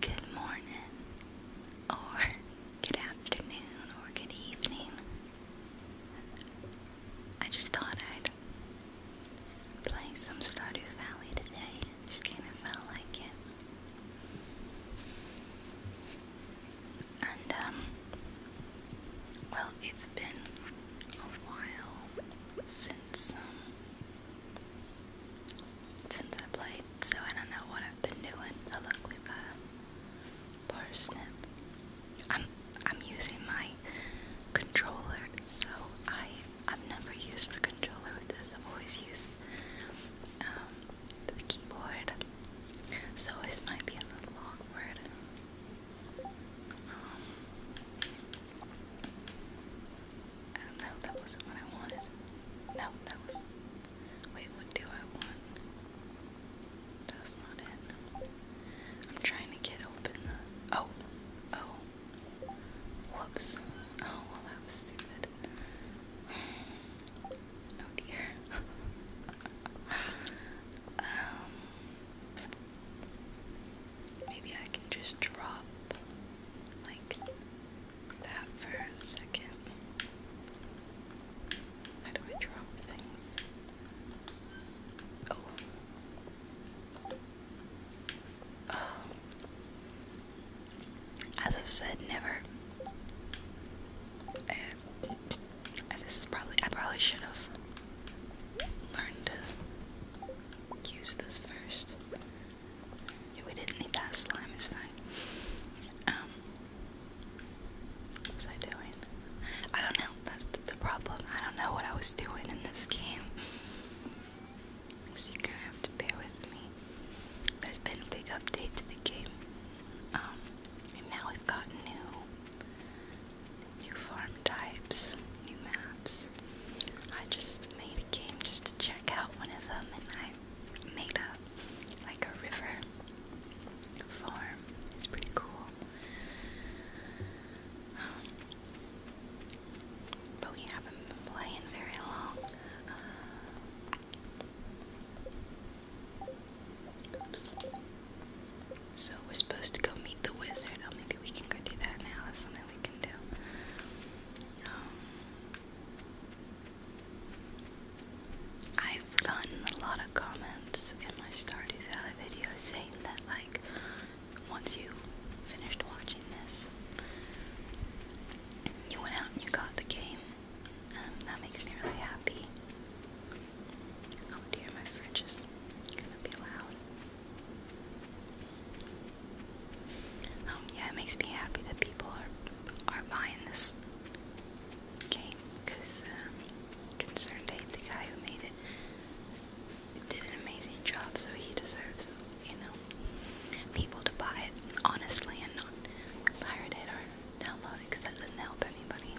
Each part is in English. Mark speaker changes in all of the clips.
Speaker 1: Good morning, or good afternoon, or good evening. I just thought I'd play some Stardew Valley today. Just kind of felt like it. And, um, well, it's been a while since, um, since I played, so I don't know what I've been doing. Oh look, we've got parsnip. I'm I'm using my controller, so I I've never used the controller with this. I've always used um, the keyboard, so this might be a little awkward. Um, no, that wasn't what I wanted. No, that was. Wait, what do I want? That's not it. I'm trying to get open the. Oh, oh. Whoops. Oh, that was stupid. Oh dear. um. Maybe I can just drop like that for a second. How do I drop things? Oh. Oh. As I've said, never. and eh, this is probably, I probably should have learned to use this first we didn't need that slime, it's fine. Um, what was I doing? I don't know. That's the, problem. I don't know what I was doing in this game. So you kind of have to bear with me. There's been big update to the game. Um, and now we've got new, new farm types, new maps because I just made a game just to check out one of them and I made a like a river farm. It's pretty cool. Um, but we haven't been playing very long. Uh, oops. So we're supposed to go meet the wizard. Oh, maybe we can go do that now. That's something um, I've gotten a lot of comments in my Stardew Valley videos saying that, like, once you finished watching this, you went out and you got the game. that makes me really happy. Oh dear, my fridge is gonna be loud. Um, yeah, it makes me happy that people are are buying this game because um, Concerned Ape, the guy who made it, did an amazing job, so he deserves, you know, people to buy it honestly and not pirate it or download it because that doesn't help anybody.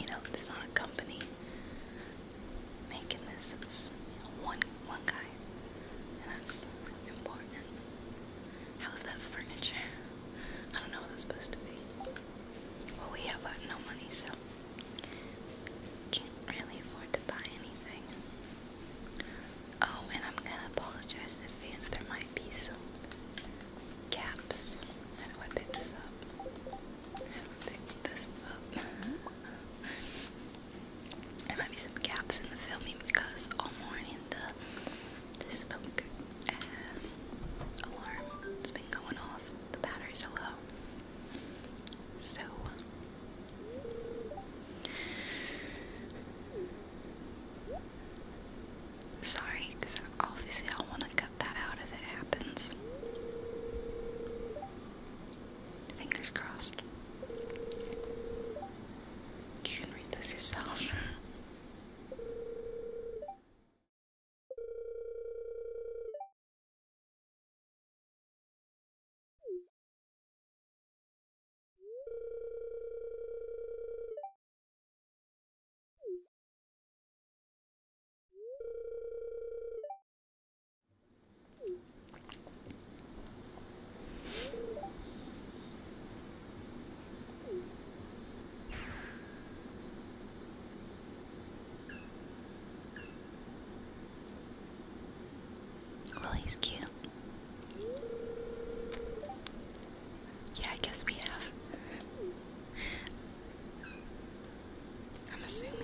Speaker 1: You know, it's not a company making this. one one guy, and that's important. How's that furniture? I don't know what that's supposed to be. Well, we have uh, no money, so can't really afford to buy anything. Oh, and I'm gonna apologize in advance. There might be some gaps. How do I pick this up? there might be some gaps in the filming because all morning the smoke alarm has been going off. The batteries low. So Sorry, because obviously I want to cut that out if it happens. Fingers crossed. You can read this yourself. Well, he's cute. Yeah, I guess we have I'm assuming.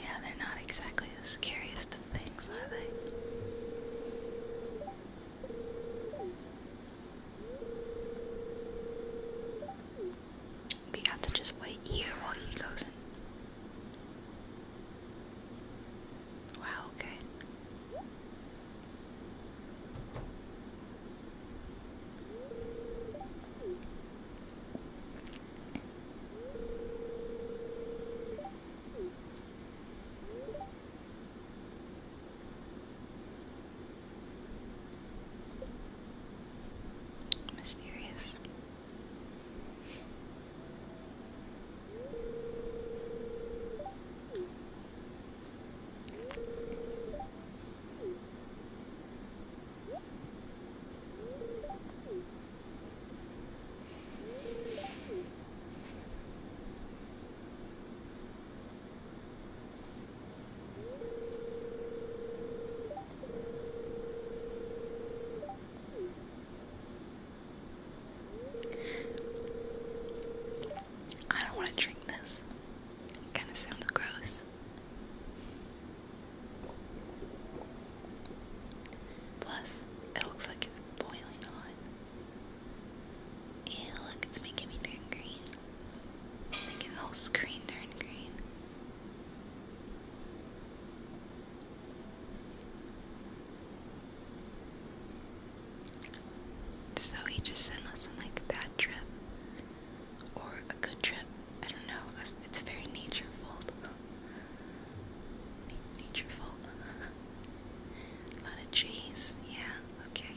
Speaker 1: Yeah, they're not exactly the scariest of things, are they? We have to just wait here while he goes in. Wow, okay. Mysterious. I don't want to drink this. It kind of sounds gross. Plus, it looks like it's boiling hot. Yeah, look, it's making me turn green. Making oh, the whole screen turn green. So he just sent us like a bad trip or a good trip. I don't know. It's a very natureful, natureful. a lot of trees. Yeah. Okay.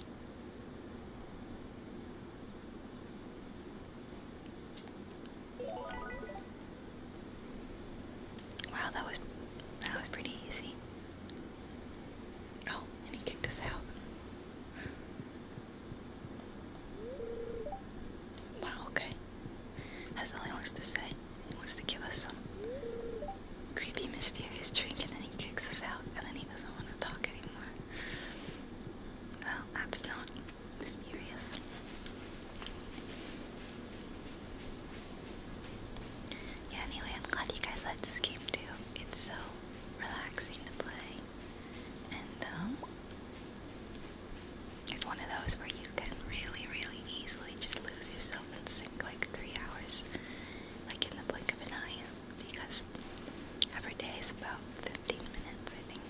Speaker 1: Wow, that was that was pretty easy. Oh, and he kicked us out. Wow, okay. That's all he wants to say. wants to give us some creepy, mysterious drink, and then he kicks us out, and then he doesn't want to talk anymore. Well, that's not mysterious. Yeah, anyway, I'm glad you guys like this game too. It's so relaxing to play. And, um, it's one of those where you can really, really easily just lose yourself and sink like three hours, like in the blink of an eye because every day is about 15 minutes, I think.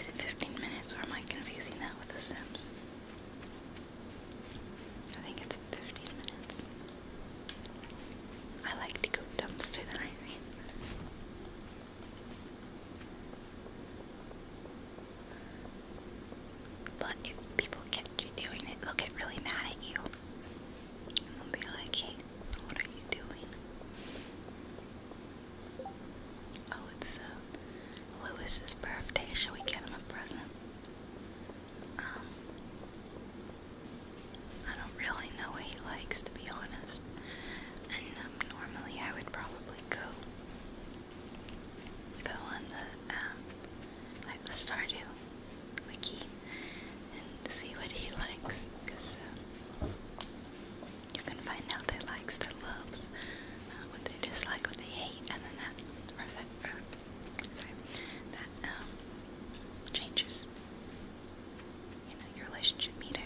Speaker 1: Is it 15 minutes or am I confusing that with The Sims? I think it's 15 minutes. I like to go dumpster than But if people catch you doing it, they'll get really mad at you. I'll be like, hey, what are you doing? Oh, it's uh, Lewis's birthday. Shall we get him a present? Um, I don't really know what he likes, to be honest. And um, normally I would probably go. Though on the app, like the Stardew wiki and see what he likes because um, you can find out their likes, their loves, uh, what they dislike, what they hate, and then that, or, or, uh, sorry, that um, changes you know, your relationship meter.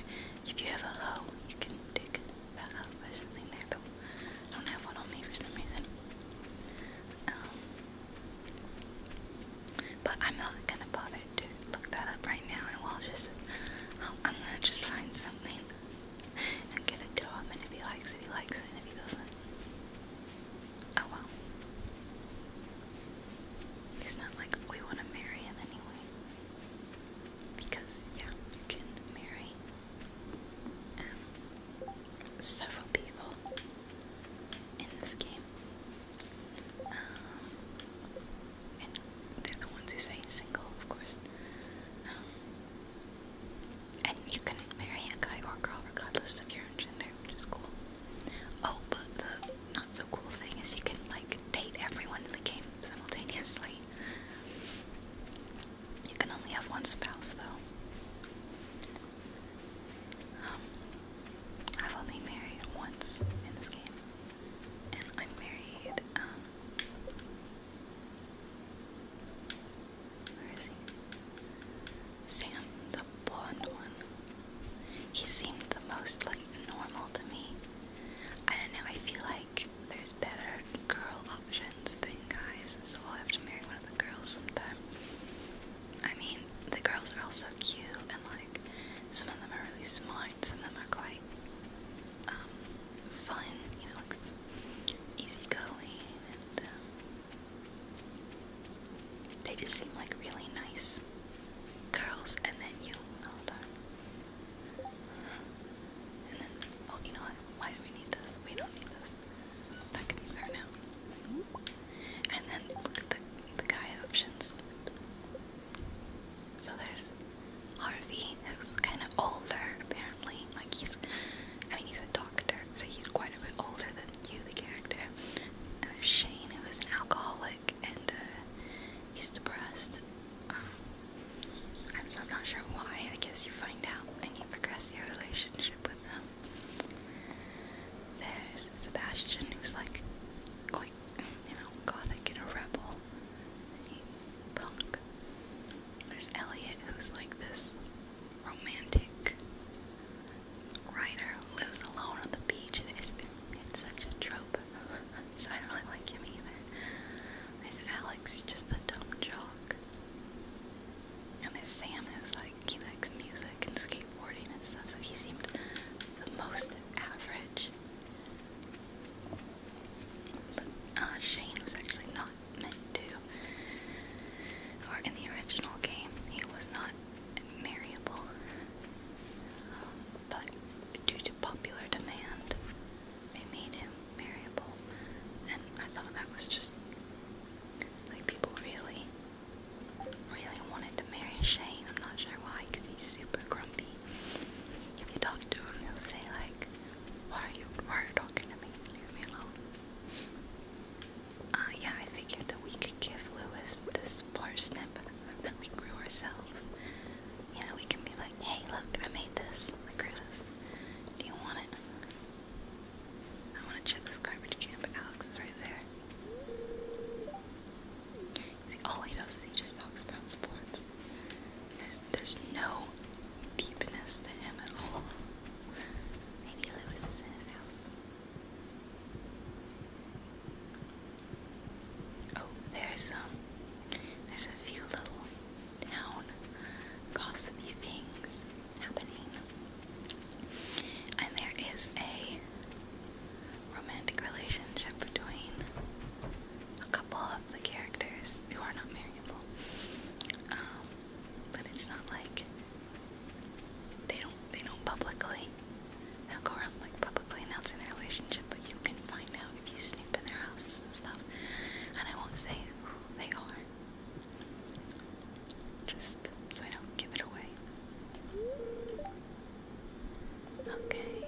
Speaker 1: If you have a hoe, you can dig that up. There's something there, but I don't have one on me for some reason. Um, but I'm not gonna bother to look that up right now, and we'll just. I'm gonna just find something and give it to him, and if he likes it, he likes it, and if he doesn't, oh well. He's not like we want to marry him anyway. Because, yeah, you can marry. Um, several people in this game. Um, and they're the ones who say single, of course. Um, and you can marry a guy or girl regardless of your own gender, which is cool. Oh, but the not so cool thing is you can like date everyone in the game simultaneously. You can only have one spouse though. Um, I've only married once in this game, and I'm married, um, where is he? Sam, the blonde one. He seemed the most, like, normal to me. I don't know, I feel like there's better girl options than guys, so I'll have to marry one of the girls sometime. I mean, the girls are all so cute, and like, some of them are really smart, some of them are quite um, fun, you know, like easygoing, and um, they just seem like really nice girls. And then you, hold on, and then, oh, you know what? Why do we need this? We don't need this. That could be there now. And then look at the, the guy options. So there's Harvey, who's kind of older, apparently. Like he's, I mean, he's a doctor, so he's quite a bit older than you, the character. there's uh, Shane, who is an alcoholic, and uh, he's depressed. Um, I'm, so not sure why. I guess you find out and you progress your relationship with him. There's Sebastian, who's like quite, you know, gothic and a rebel. He's punk. There's Elliot, who's like this romantic writer who lives alone on the beach, and it's, such a trope. so I don't like him either. There's Alex, just a dumb jock. And his Sam is like, he likes music and skateboarding and stuff, so he seemed the most average. But uh, Shane was actually not meant to. Or in the original game, he was not marryable. Um, but due to popular demand, they made him marryable. And I thought that was just like people really really wanted to marry Shane. I'm not sure why, because he's super grumpy. If you talk to him, he'll say like, "Why are you? talking to me? Leave me alone." Uh, yeah, I figured that we could give Lewis this parsnip that we grew ourselves. You know, we can be like, "Hey, look, I made this. I grew this. Do you want it?" I want to check this garbage can, Alex is right there. All he does is he just talks about sports. There's, no deepness to him at all. Maybe Lewis is in his house. Oh, there's um, there's a few little town gossipy things happening. And there is a romantic relationship between a couple of the characters who are not marriable. Um, but it's not like they don't they don't publicly they'll go around like publicly announcing their relationship, but you can find out if you snoop in their houses and stuff. And I won't say who they are. Just so I don't give it away. Okay.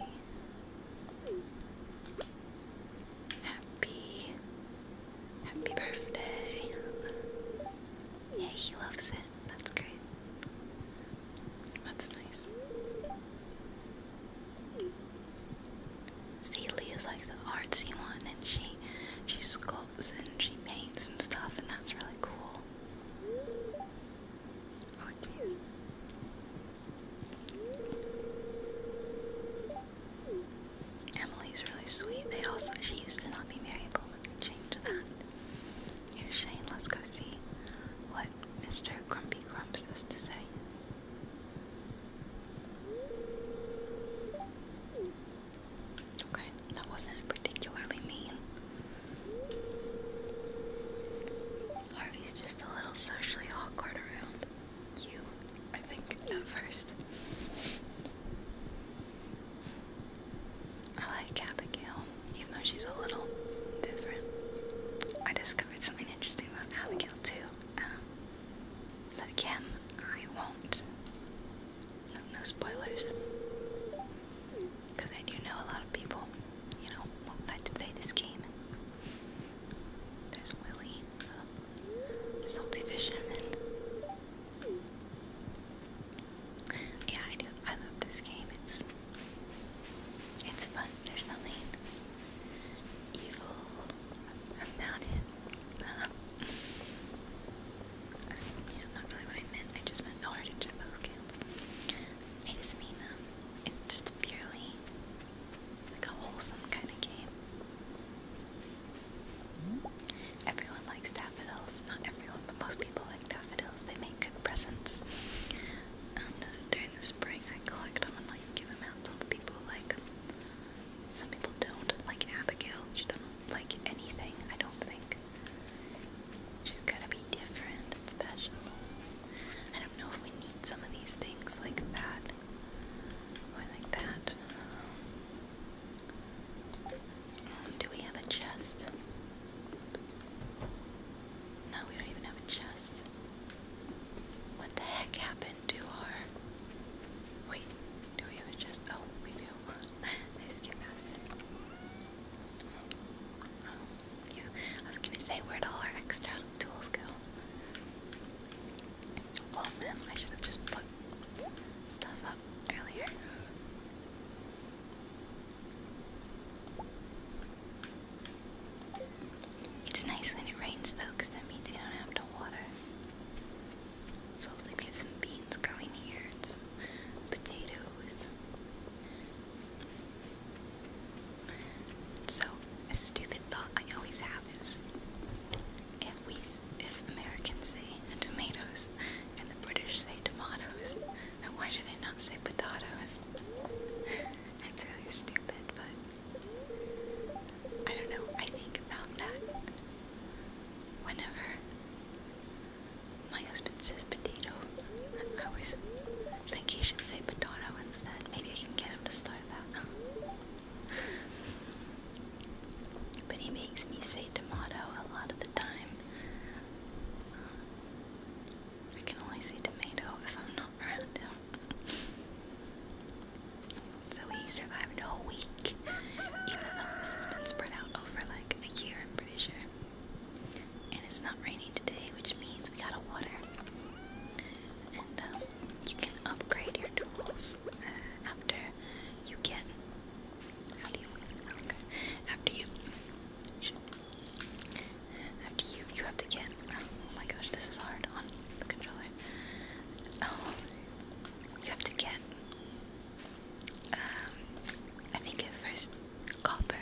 Speaker 1: Happy. Happy birthday. Yeah, he loves it. That's great. That's nice. See, Leah's like the artsy one, and she she sculpts and she paints and stuff, and that's really cool. Oh, please. Emily's really sweet. They also she used to not be marriable, but they changed that. Here's Shane. Let's go see what Mr. Grumpy Grumps has to say. Okay, that wasn't particularly mean. Harvey's just a little socially awkward around you, I think, at first. I like Abigail, even though she's a little different. I discovered something interesting about Abigail, too. Um, but again, I won't no, spoilers, because I do know a lot of people, you know, like to play this game. There's Willy, Salty Fisherman. Yeah, I do. I love this game. It's it's fun. There's nothing evil about it. you know, not really what I meant. I just meant how hard to those cans. I just mean um, it's just purely like a wholesome kind of game. Everyone likes daffodils. Not everyone, but most people like daffodils. They make good presents. And um, uh, during the spring, I collect them and like give them out to the people who like them. Some people don't, like Abigail. She doesn't like anything, I don't think. She's gotta be different special. I don't know if we need some of these things like that or like that. Um, do we have a chest? No, we don't even have a chest. What the heck happened to our. Wait, do we have a chest? Oh, we do. I skipped past I was gonna say, where do all our extra tools go? Well, I should have just put stuff up earlier. It's nice when it rains though, that means you don't have to water. So I like, we have some beans growing here and potatoes. So a stupid thought I always have is, if we, if Americans say tomatoes and the British say tomatoes, then why do they not say potatoes? That's really stupid, but I don't know. I think about that whenever my husband says potato. I always think he should say potato instead. Maybe I can get him to start that. but he makes me say tomato a lot of the time. I can only say tomato if I'm not around him. So he survived a whole week, even though this has been spread out over like a year, I'm pretty sure. And it's not raining today, which means we got a water. And um, you can upgrade your tools uh, after you get. After you. After you, you have to get. Oh my gosh, this is hard on the controller. Oh, you have to get um, I think at first copper.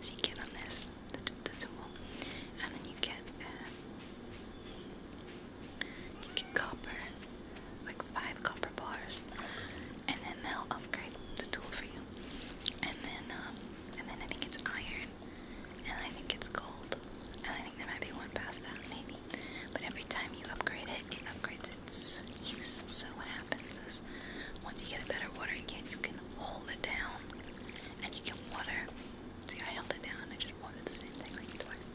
Speaker 1: So you get on this, the, the tool, and then you get um, you get copper, like five copper bars, and then they'll upgrade the tool for you. And then, um, and then I think it's iron, and I think it's gold, and I think there might be one past that maybe. But every time you upgrade it, it upgrades so what happens is once you get a better watering can, you can hold it down and you can water. See, I held it down. I just watered the same thing like twice.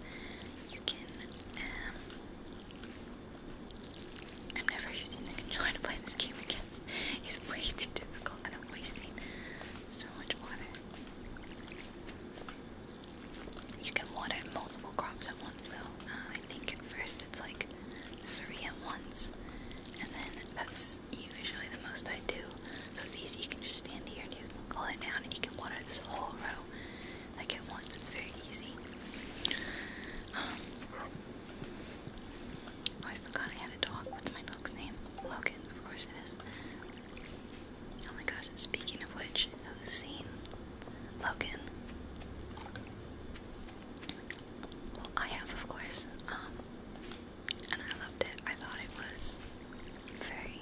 Speaker 1: You can. Um, I'm never using the controller to play this game again. It's way too difficult, and I'm wasting so much water. You can water multiple crops at once, though. Uh, I think at first it's like three at once. And then that's usually the most I do. So it's easy, you can just stand here and you can pull it down and you can water this whole row like at once. It's very easy. oh, I forgot I had a dog. What's my dog's name? Logan, of course it is. Oh my gosh, speaking of which, have seen Logan. I have, of course. Um, and I loved it. I thought it was very,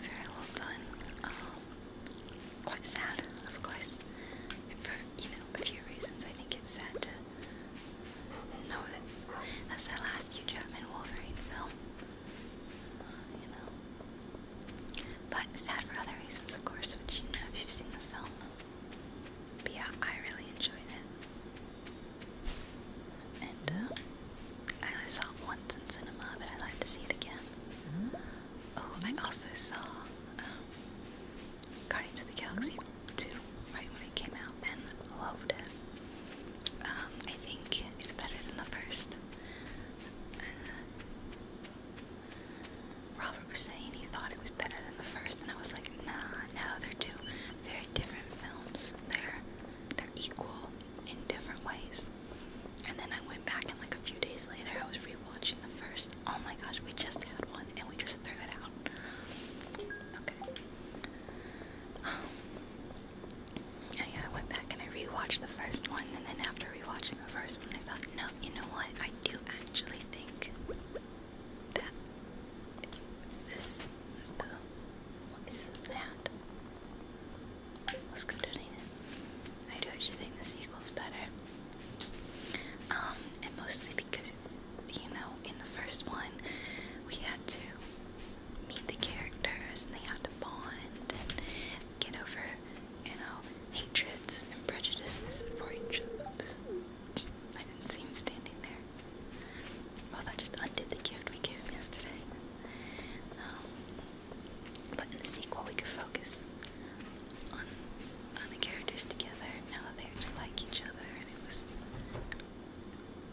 Speaker 1: very well done. Um, quite sad, of course. For you know a few reasons, I think it's sad to know that that's the last Hugh Jackman Wolverine film. Uh, you know, but sad for other reasons, of course, which you know if you've seen the film. But yeah, I really enjoyed it. And uh, I saw it once in cinema, but I'd to see it again. Mm-hmm. Oh, I also saw um, Guardians of the Galaxy 2 right when it came out and loved it. Um, I think it's better than the first. Uh, Robert was saying he thought it was better than the first, and I was like, nah, no, they're two very different films. They're they're equal in different ways. And then I went back and like a few days later I was rewatching the first. Oh my gosh, we just had one and we just threw it out. Okay. Um, yeah, I went back and I rewatched the first one, and then after rewatching the first one, I thought, no, you know what? I do actually think that this. The, that? Let's go donate it. I do actually think the sequel's better. Um, and mostly because, you know, in the first one, we had to meet the characters and they had to bond and get over you know, hatreds and prejudices for each other. I didn't see him standing there. Well, that just undid the gift we gave him yesterday. Um, but in the sequel, we could focus on on the characters together now that they actually like each other, and it was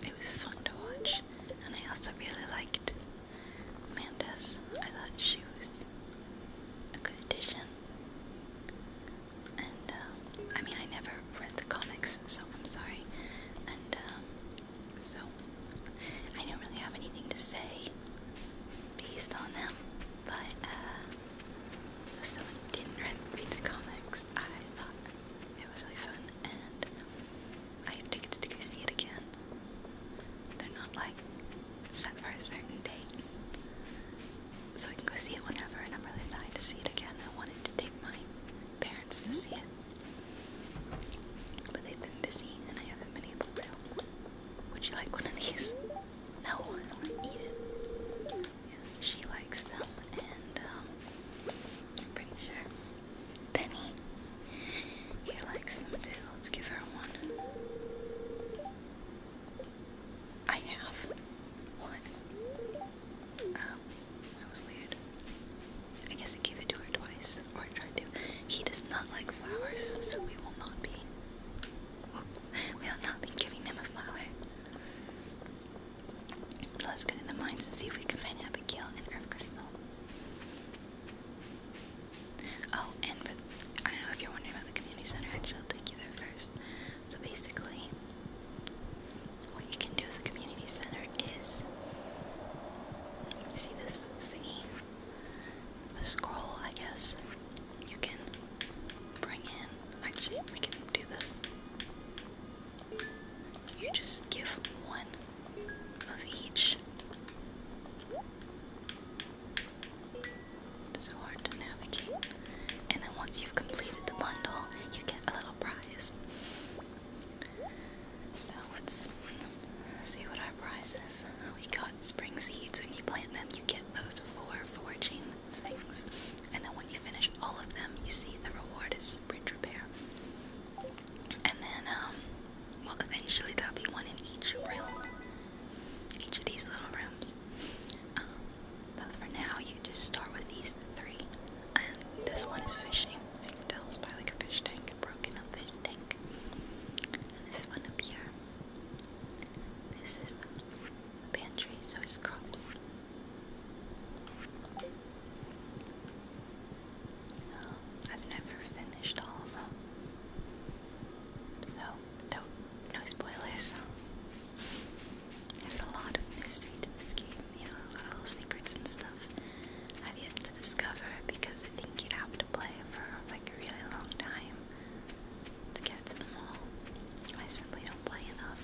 Speaker 1: it was fun to watch. And I also really liked Amanda's. I thought she was a good addition. And um, I mean, I never read the comics, so I'm sorry. And um, so I don't really have anything to say based on them, but uh, someone didn't read, read the comics, I thought it was really fun, and I have tickets to go see it again. They're not like set for a certain date. So I can go see it whenever, and I'm really dying to see it again. I wanted to take my parents to see it. But they've been busy, and I haven't been able to. Would you like one of these? No, I want to eat it. Yeah, she likes them, and um, I'm pretty sure Penny. He likes them too. Let's give her one. I have one. Um, that was weird. I guess I gave it to her twice, or I tried to. He does not like flowers, so we will not be. We will not be giving him a flower. Let's go to the mines and see if we can find Abigail and Earth Crystal. Oh, and but I don't know if you're wondering about the community center. Actually, I'll take you there first. So basically, what you can do with the community center is you see this thingy, the scroll, I guess. You can bring in. Actually, we can do this. You just give one of each. So hard to navigate. And then once you've completed the bundle, you get a little prize. So let's see what our prize is. We got spring seeds. When you plant them, you get those four foraging things. And then when you finish all of them, you see the reward is bridge repair. And then, um, well, eventually there'll be one in each room each of these little rooms. Um, but for now, you just start with these three. And this one is fishing, so you by like a fish tank, a broken up fish tank. this one up here, this is the pantry, so it's crops. Um, I've never finished all of them. So, no, no spoilers. There's a lot of mystery to this game, you know, a lot of little secrets and stuff I've yet to discover because I think you'd have to play for like a really long time to get to them all. I simply don't play enough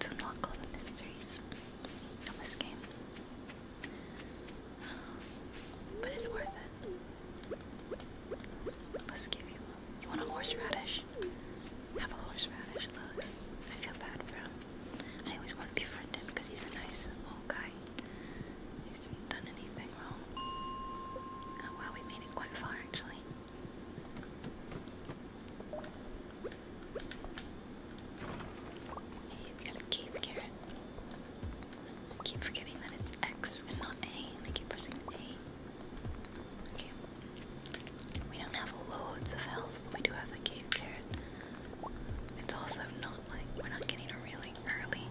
Speaker 1: to unlock all the mysteries of this game. But it's worth it. Let's give you You want a horseradish? Have a horseradish, Lux. I feel bad for him. I always want to befriend him because he's a nice old guy. He done anything wrong. Oh, wow, we made it quite far actually. Hey, we got a cave carrot. I keep forgetting that it's X and not A, and I keep pressing A. Okay. We don't have loads of health, but we do have the cave carrot. It's also not like we're not getting a really early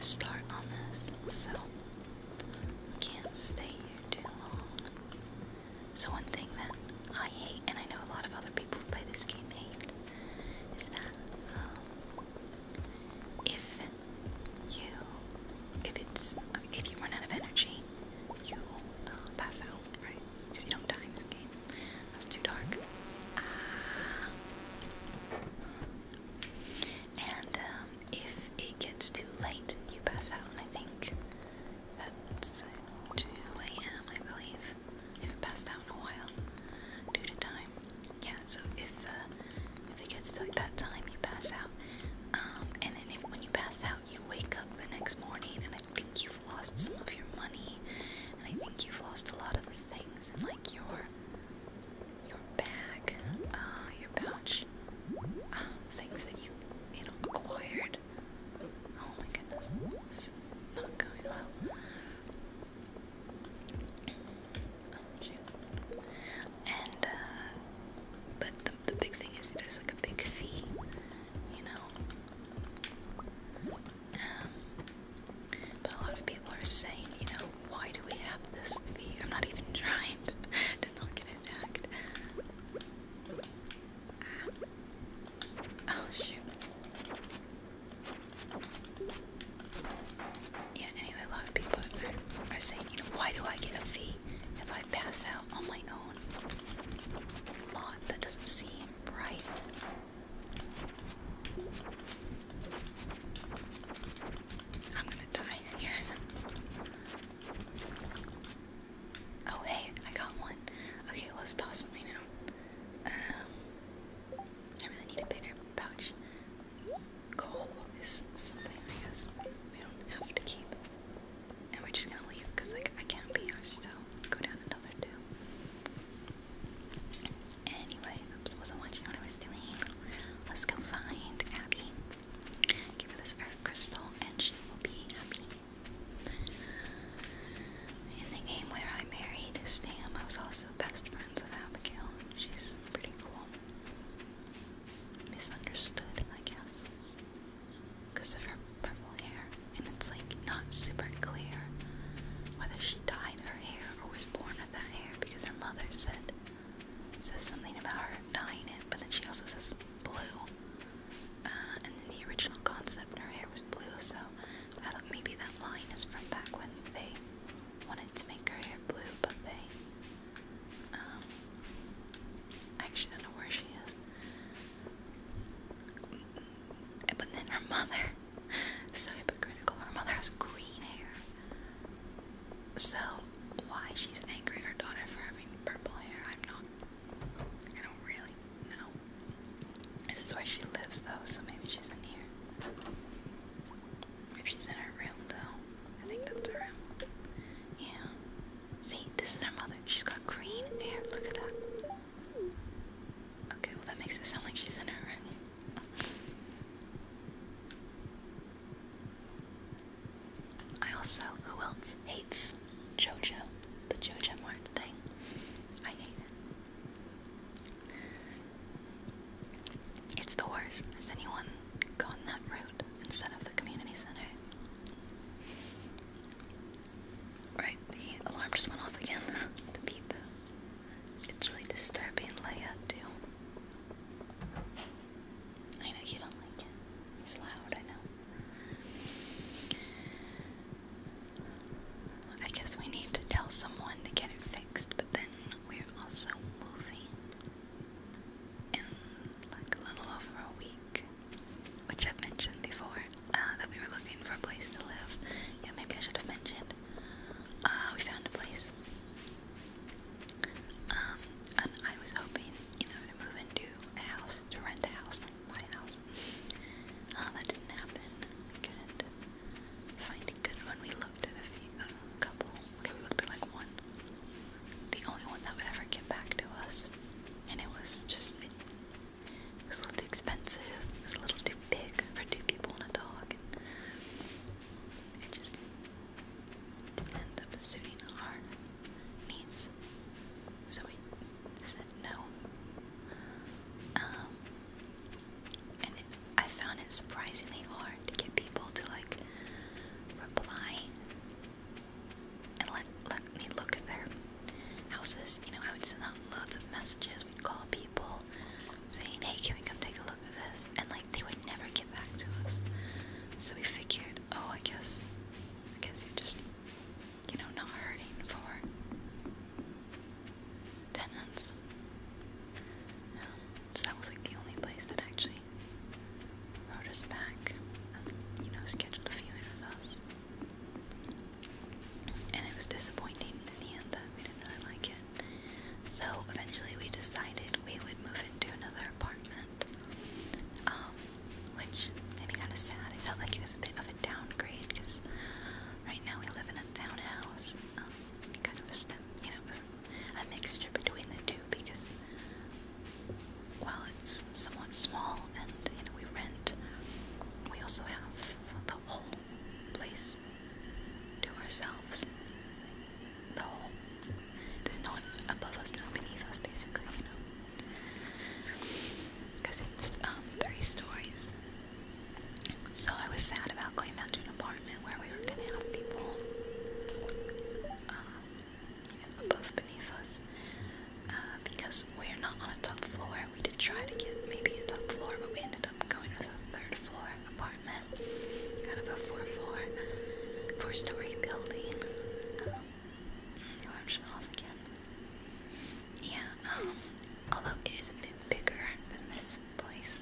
Speaker 1: start on this, so we can't stay here too long. So one thing that I hate, and I know a lot of other people play this game hate, is that um, if you, if it's if you run out of energy, you uh, pass out, right? Because you don't die in this game. That's too dark. And um, if it gets too late, you pass out. I think that's 2 a.m. I believe. I haven't passed out in a while due to time yeah, so if uh, if it gets to like that time, you pass out. Um, and then if, when you pass out, you wake up the next morning, and I think you've lost some of your money, and I think you've lost a lot of things, and like your your bag, uh, your pouch, uh, things that you you know acquired. Oh my goodness, it's not going well. June. And, uh, but the, the big thing is there's like a big fee, you know? Um, but a lot of people are saying, you know, why do we have this fee? I'm not even trying to not get attacked. Ah. Oh shoot. Yeah, anyway, a lot of people are, saying, you know, why do I get a fee if I pass out on my own lot? That doesn't seem right. I'm gonna die here. Oh hey, I got one. Okay, let's toss it right now. Um, I really need a bigger pouch coal is something I guess we don't have to keep. And we're just gonna leave because like I can't be here still. Go down another two. Anyway, oops, wasn't watching what I was doing. Let's go find Abby. Give her this earth crystal and she will be happy. In the game where I married Sam, I was also best friends of Abigail. She's pretty cool. Misunderstood, I guess. Because of her purple hair. And it's like not super clear whether she dyed her hair or was born with that hair because her mother said says something about her dyeing it, but then she also says blue. Uh, and then the original concept her hair was blue, so I thought maybe that line is from back when they wanted to make her hair blue, but they, um, I actually don't know where she is. But then her mother, so hypocritical, her mother has green hair. So, why she's angry at her daughter for having purple hair, I'm not, I don't really know. This is where she lives though, so maybe she's in here. If she's in her room, though, I think that's her room. Yeah. See, this is her mother. She's got green hair. Look at that. Okay, well, that makes it sound like she's in her room. I also, who else hates JoJo? The JoJo Mart thing. I hate it. It's the worst. Has anyone gone that route instead of the community center? Right, the alarm just went off again. the beep. It's really disturbing Leia, too. I know you don't like it. It's loud, I know. I guess we need to tell someone to get it fixed, but then we're also moving in like a little over a week, which I've mentioned before, uh, that we were looking for a place to live. Yeah, maybe I should have mentioned. Uh, we found a place. Um, I was hoping, you know, to move into a house, to rent a house, like my house. Uh, that didn't happen. couldn't find a good one. We looked at a few, uh, couple, Okay, we looked at like one. The only one that would ever get back to us. And it was just, it, it was a little too expensive. It was a little too big for two people and a dog. And it just didn't end up suiting our needs. So we said no. Um, and it, I found it surprisingly hard to get people to like reply and let let me look at their houses. You know, I would send out loads of messages. We'd call people saying, "Hey, can we come take a look at this?" And like they would never get back to us. So we figured, oh, I guess, I guess you're just, you know, not hurting for tenants. Um, so that was like the only place that actually wrote us back and, um, you know, scheduled a viewing with us. And it was disappointing in the end that we didn't really like it. So eventually we decided we would move into another apartment. Um, which made me kind of sad. It felt like it was a bit of a downgrade because right now we live in a townhouse. Um, kind of a you know, a mixture between the two because while it's somewhat small and you know we rent, we also have the whole place to ourselves. The whole there's no one above us, no beneath us, basically, you know. Because it's um, three stories. So I was sad about going back to an apartment where we were gonna have people um, above beneath us uh, because we're not on a top floor. We did try to get maybe a top floor, but we ended up going with a third floor apartment out of a four floor, four story building. Um, mm, Large off again. Yeah, um, although it is a bit bigger than this place.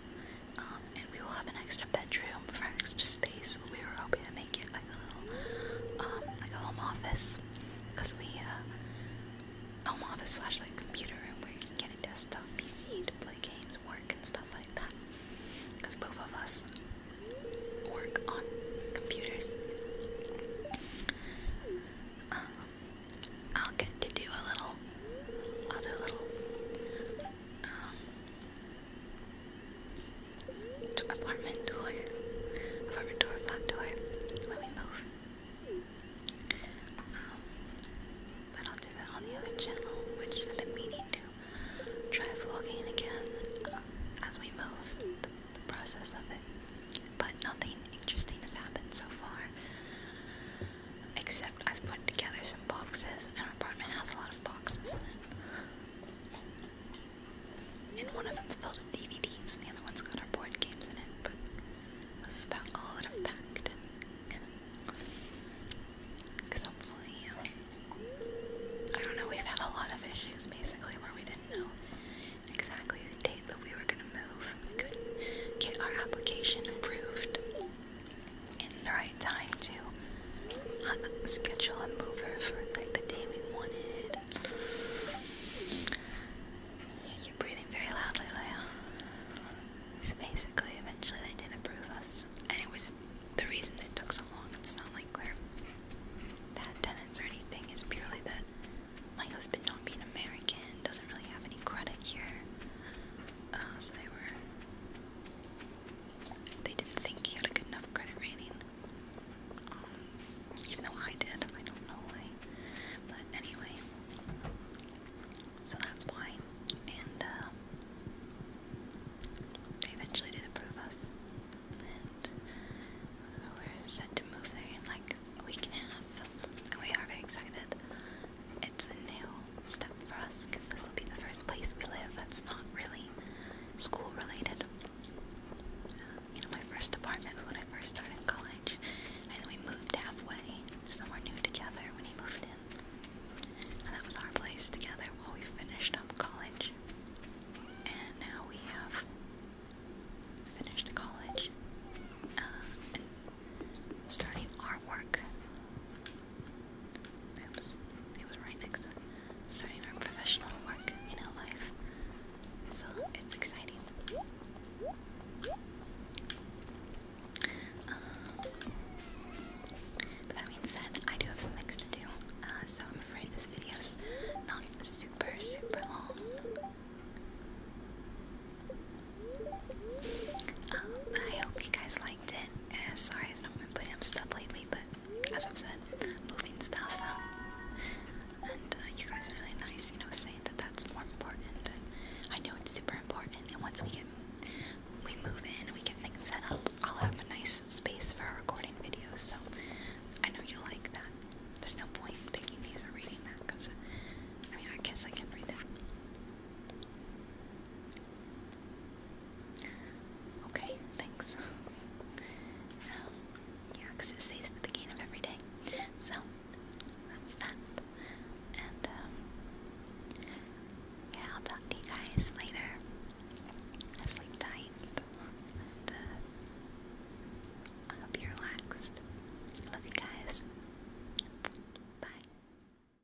Speaker 1: Um, and we will have an extra bedroom for extra space. We were hoping to make it like a little, um, like a home office, because we, uh, home office slash like computer room where you can get a desktop PC to play games, work, and stuff like that. Because both of us work on computers. Um, I'll get to do a little, i little um, apartment door, apartment door, flat door when we move. Um, but I'll do that on the other channel, which I've to try vlogging again uh, as we move, the process of it. But nothing interesting has happened so far. Except I've put together some boxes, and our apartment has a lot of boxes in it. And one of them's filled with DVDs, and the other one's got our board games in it, but that's about all that I've packed. Because hopefully, um, I don't know, we've had a lot of issues basically where we didn't know exactly the date that we were going to move. We couldn't get our application approved in the right time to uh, schedule a mover for like the day we wanted. You're breathing very loudly, Leia. So basically, eventually they did approve us, and it was the reason it took so long. It's not like we're bad tenants or anything. It's purely that my husband, not being American, doesn't really have any credit here. Uh, so they were they didn't think he had a good enough credit rating. Um, even though I did, I don't know why. But anyway, so that's why. And um, they eventually did approve us. And we're set to move there in like a week and a half. we are very excited it's a new step for us because this will be the first place we live that's not really school related. Um, you know, my first apartment was when I first started college, and then we moved halfway somewhere new together when he moved in. And that was our place together while we finished up college. And now we have finished college uh, and starting Oops, it was right next to Starting our professional work, you life. So it's exciting. Um, but that being said, I do have some things to do, uh, so I'm afraid this video's not super, super long. Um, I hope you guys liked it. And eh, sorry I've been putting up stuff lately, but as i said, moving stuff And uh, you guys are really nice, you know, saying that that's more important. I know it's super important. And once we get we move in and we get things set up, I'll have a nice space for recording videos. So I know you'll like that. There's no point picking these or reading that because I mean, I guess I can read it. Okay, thanks. Um, it saves at the beginning of every day. So, that's that. And, um, yeah, I'll talk to you guys later. sleep tight. And, uh, I hope you're relaxed. Love you guys. Bye.